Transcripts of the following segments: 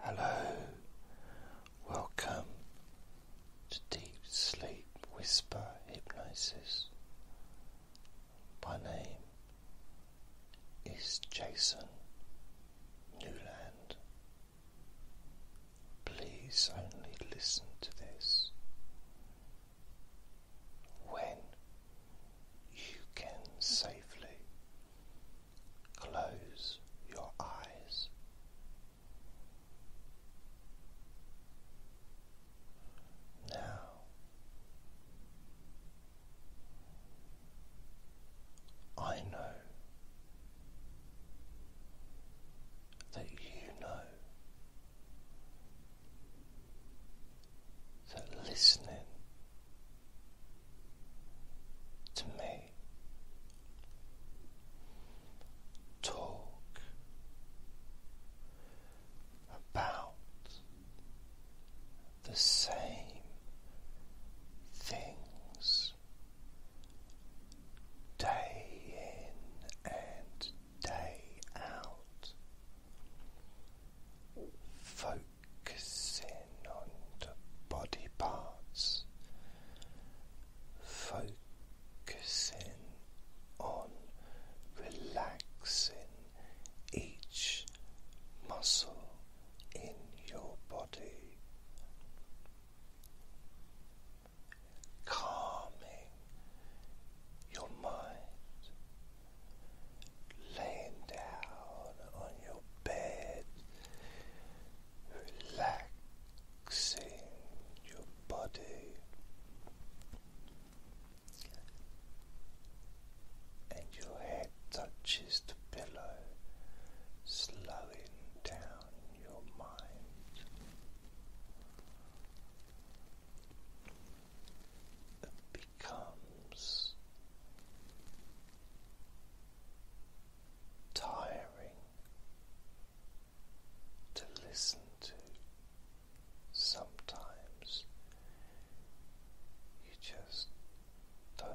Hello, welcome to Deep Sleep Whisper Hypnosis. My name is Jason Newland. Please only listen to this when you can safely Close your eyes. Now I know that you know that listening to me. Talk about the same things day in and day out. Focus focusing on the body parts, focusing on relaxing each muscle in your body, calming your mind, laying down on your bed, relaxing your body and your head touches the pillow, slowing down your mind. It becomes tiring to listen to. Sometimes you just don't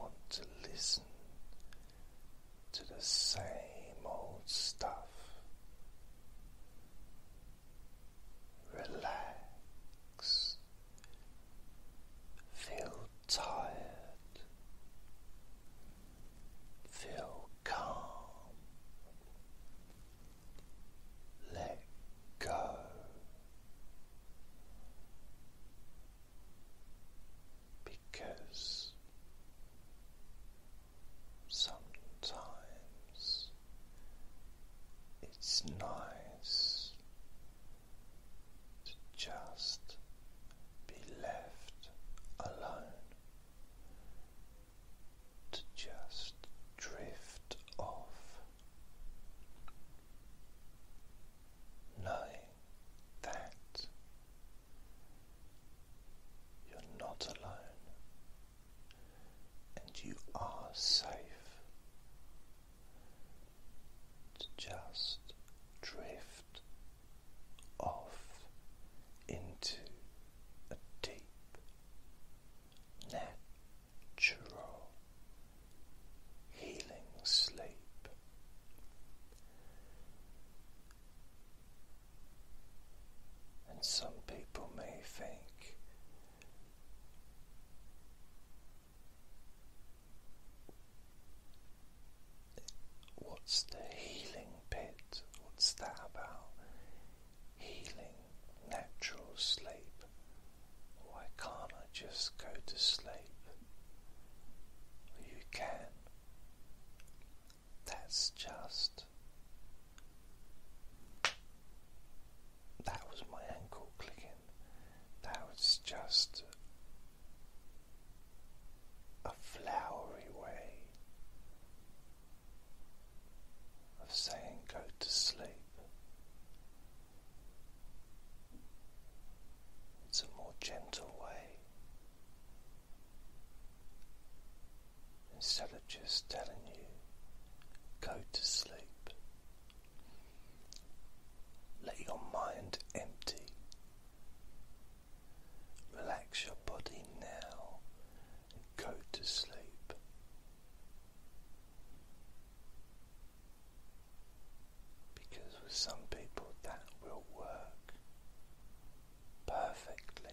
want to listen to the same old stuff. Relax Feel tired, feel calm, let go. Because sometimes it's nice to just be left alone, to just drift off, knowing that you're not alone and you are safe to just drift off into a deep, natural, healing sleep. And some people may think What's the healing pit? What's that about? Healing, natural sleep. Why can't I just go to sleep? you can. That's just. That was my ankle clicking. That was just a flowery way of saying go to sleep. It's a more gentle way. Instead of just telling you, go to sleep. Let your mind empty Relax your body now and go to sleep. Because with some people that will work perfectly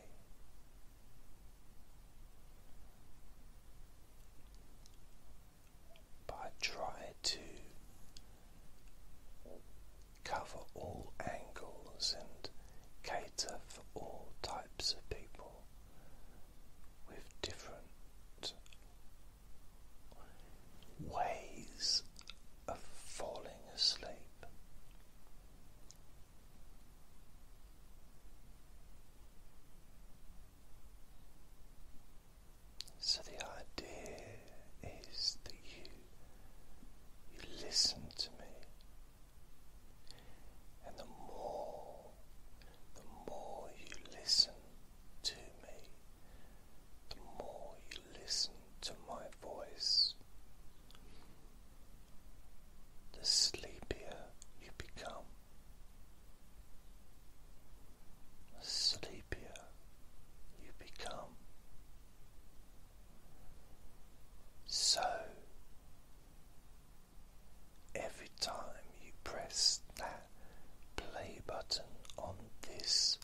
but I try to cover all angles and cater for all types of people with different ways of falling asleep. So the idea is that you you listen to me and the more the more you listen to me, the more you listen to my voice, the sleepier you become. The you become. So, every time you press that play button on this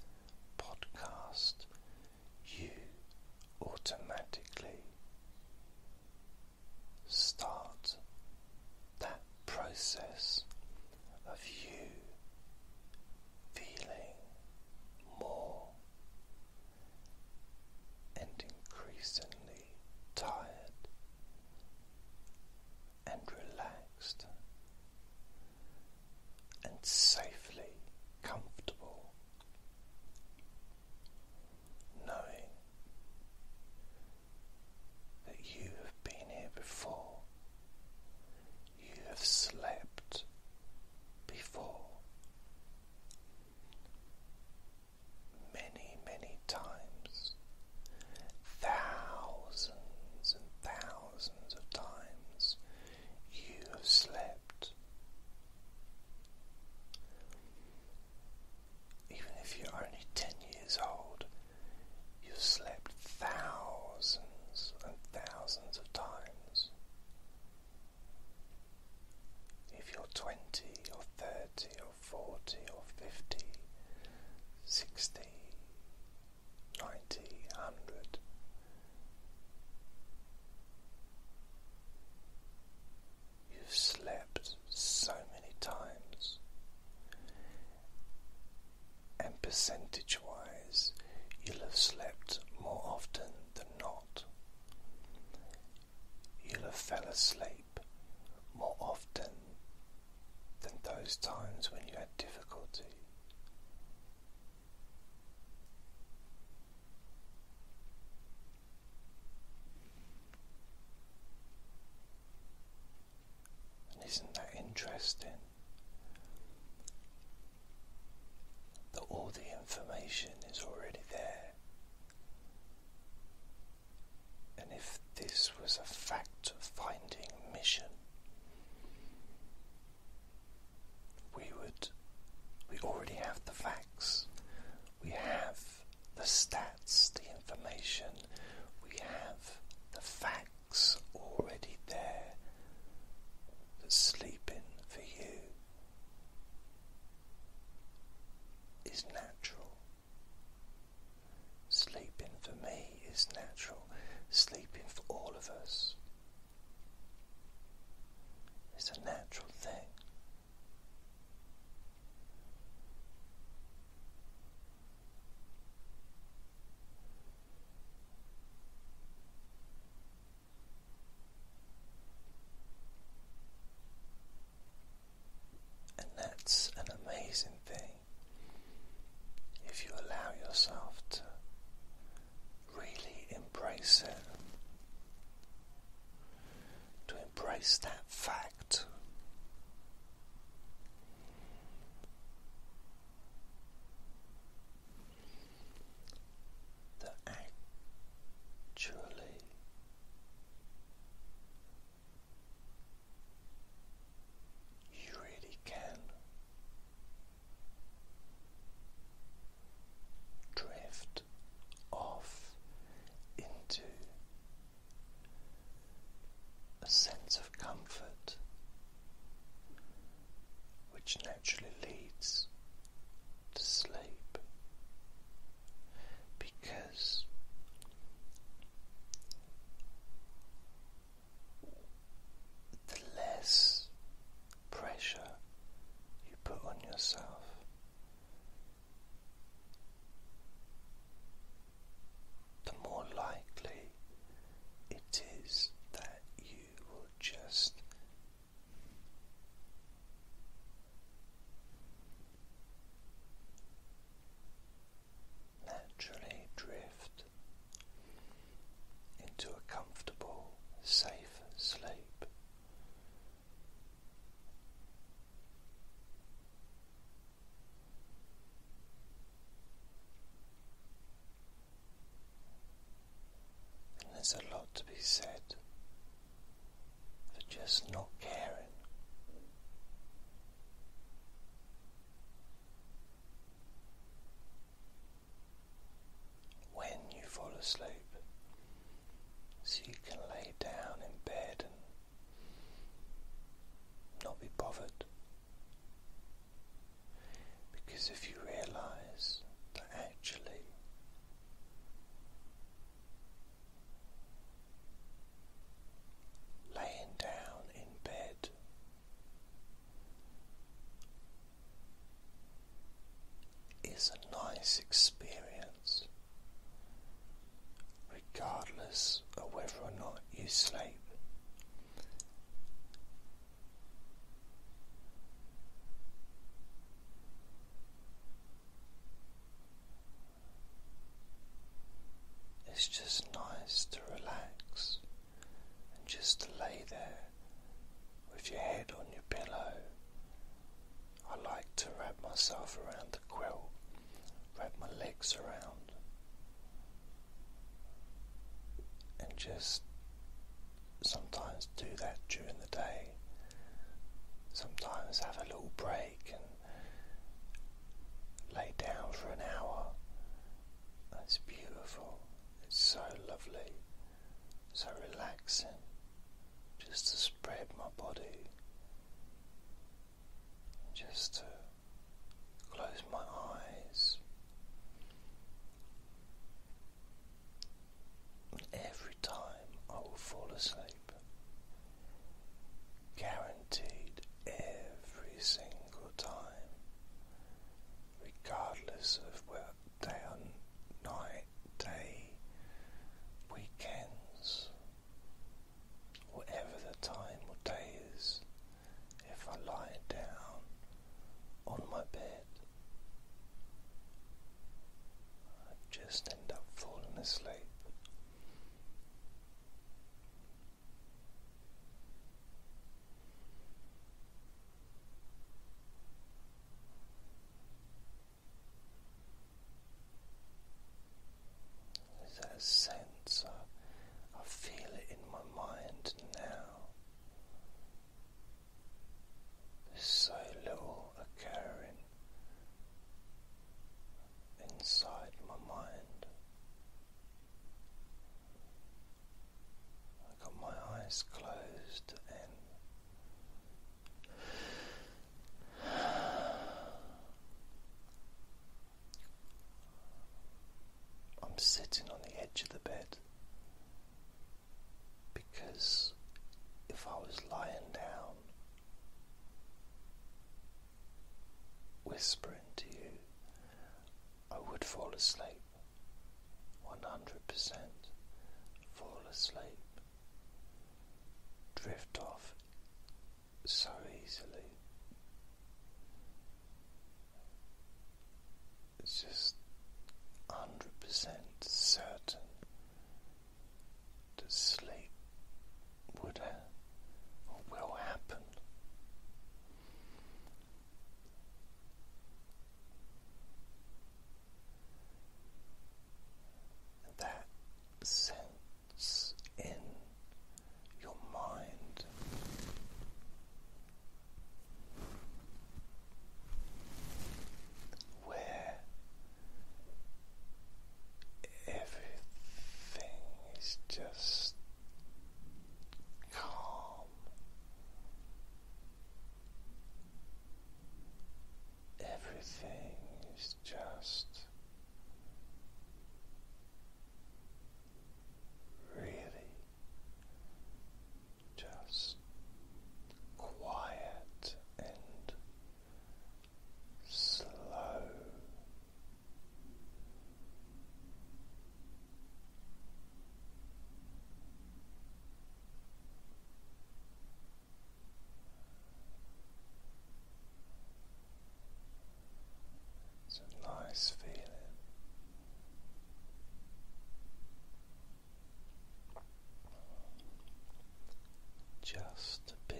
podcast, you automatically start that process of you feeling more and increasingly tired and relaxed and safely comfortable, knowing that you have been here before you have slept before many, many times, thousands and thousands of times you have slept. Even if you're only 10 years old, you slept thousands and thousands of times. If you're 20 or 30 or 40 or 50, 60, 90, 100, You've slept so many times, and percentage wise, you'll have slept more often than not. You'll have fell asleep more often than those times when you had difficulty. And isn't that interesting? that all the information is already there. And if this was a fact finding mission, we would we already have the facts. We have the stats, the information, we have the facts sparks already there sleeping for you is natural. Sleeping for me is natural. Sleeping for all of us is a natural thing. And that's an amazing thing if you allow yourself to really embrace it, to embrace that fact that actually you really can drift off into a sense of comfort which naturally leads to sleep because the less pressure you put on yourself. The more likely it is that you will just naturally drift into a comfortable, safe sleep. And there's a lot to be said for just not caring. When you fall asleep, so you can lay down in bed and not be bothered. Because if you realize that actually laying down in bed is a nice experience, regardless of whether or not you sleep. It's just nice to relax and just to lay there with your head on your pillow. I like to wrap myself around the quilt, wrap my legs around, and just sometimes do that during the day. Sometimes have a little break and lay down for an hour. That's beautiful. It's so lovely, so relaxing. Just to spread my body, just to close my eyes Every time I will fall asleep, guaranteed every single time, regardless of where day or night, day, weekends, whatever the time or day if I lie down on my bed. I just end up falling asleep. There's that sense, I, I feel it in my mind now. There's so little occurring inside my mind. I got my eyes closed and I'm sitting on the edge of the bed because if I was lying down, whispering to you, I would fall asleep 100% fall asleep, drift off so easily. It's just 100% certain that sleep would or will happen. That sense in your mind where everything is just calm. Everything is just really just quiet and slow. It's a nice feeling. Just to be.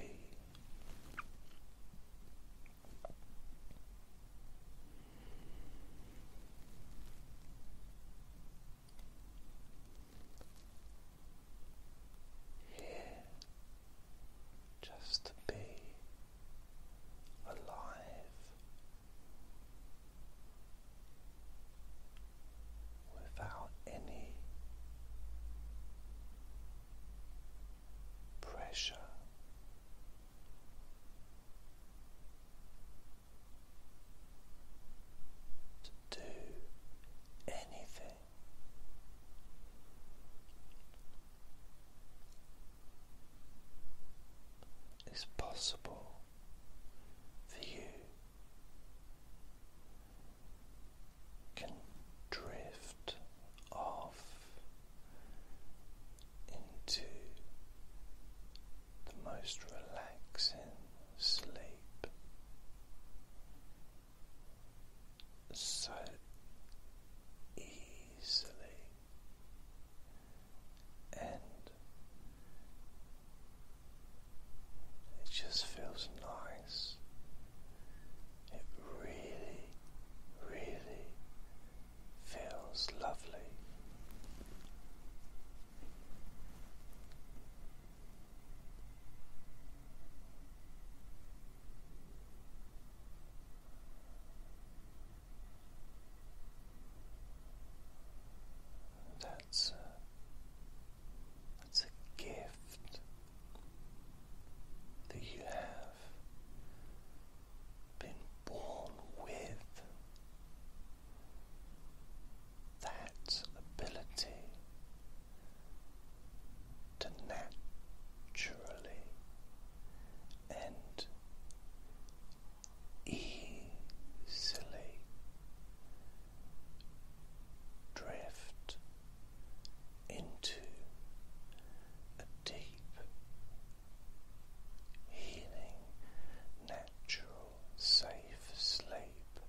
Here, just to be alive without any pressure. To do anything, is possible you can drift off into the most relaxing sleep. So easily and it just feels nice. It really, really feels lovely. That's a, that's a gift that you have been born with that ability to naturally and easily drift into a deep healing natural safe sleep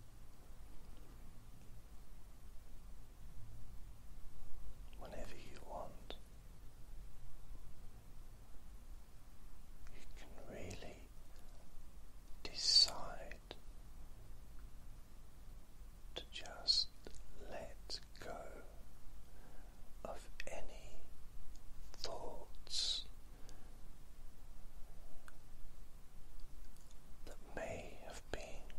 whenever you want you can really decide to just let go of any thoughts that may have been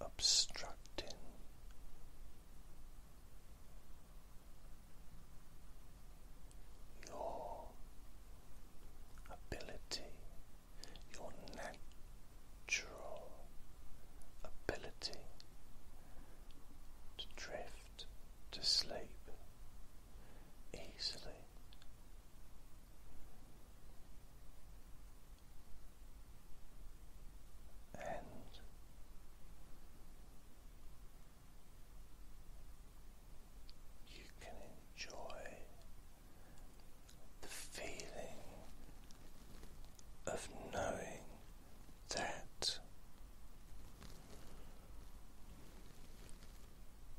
obstructing your ability, your natural ability to drift to sleep easily. And you can enjoy the feeling of knowing that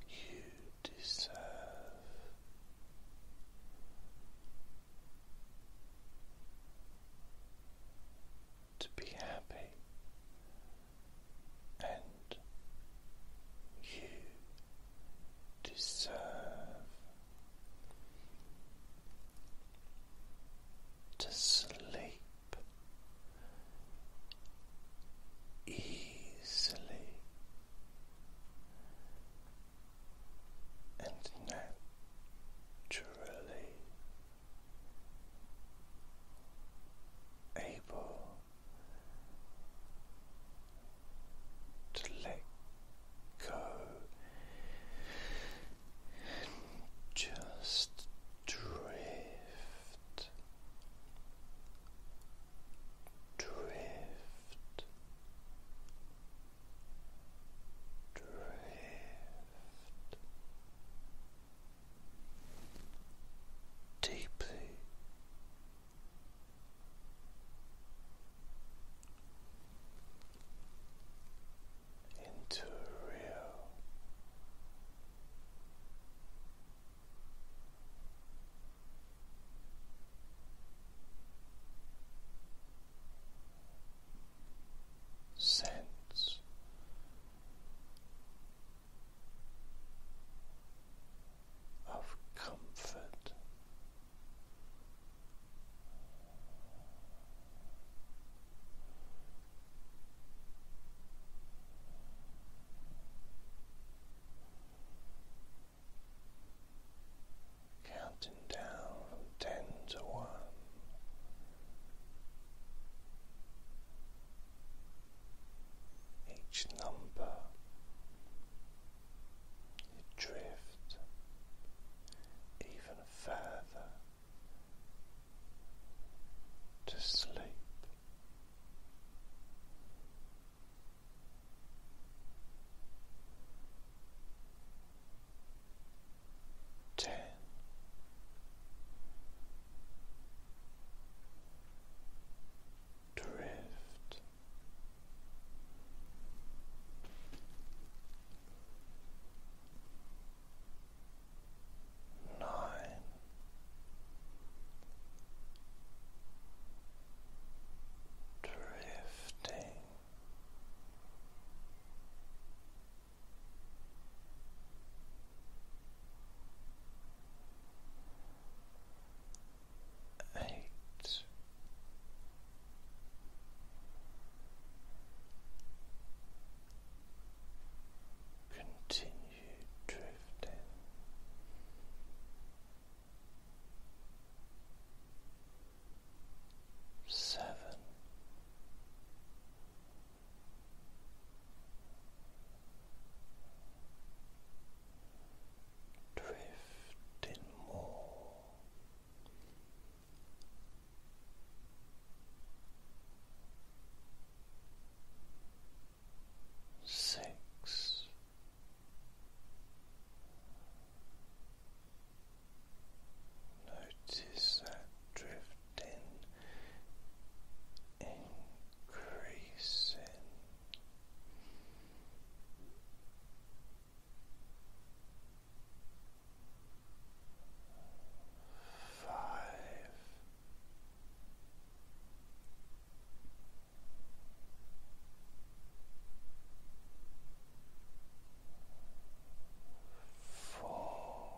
you deserve to be happy, and you deserve to sleep easily and naturally able to let go just drift, drift, drift deeply. Into real sense of comfort. Counting down from ten to one, each number drifts even further to sleep ten. Drift nine, drifting eight. Continue drifting. Seven, Drifting more six. Notice that drifting increasing. Five, four,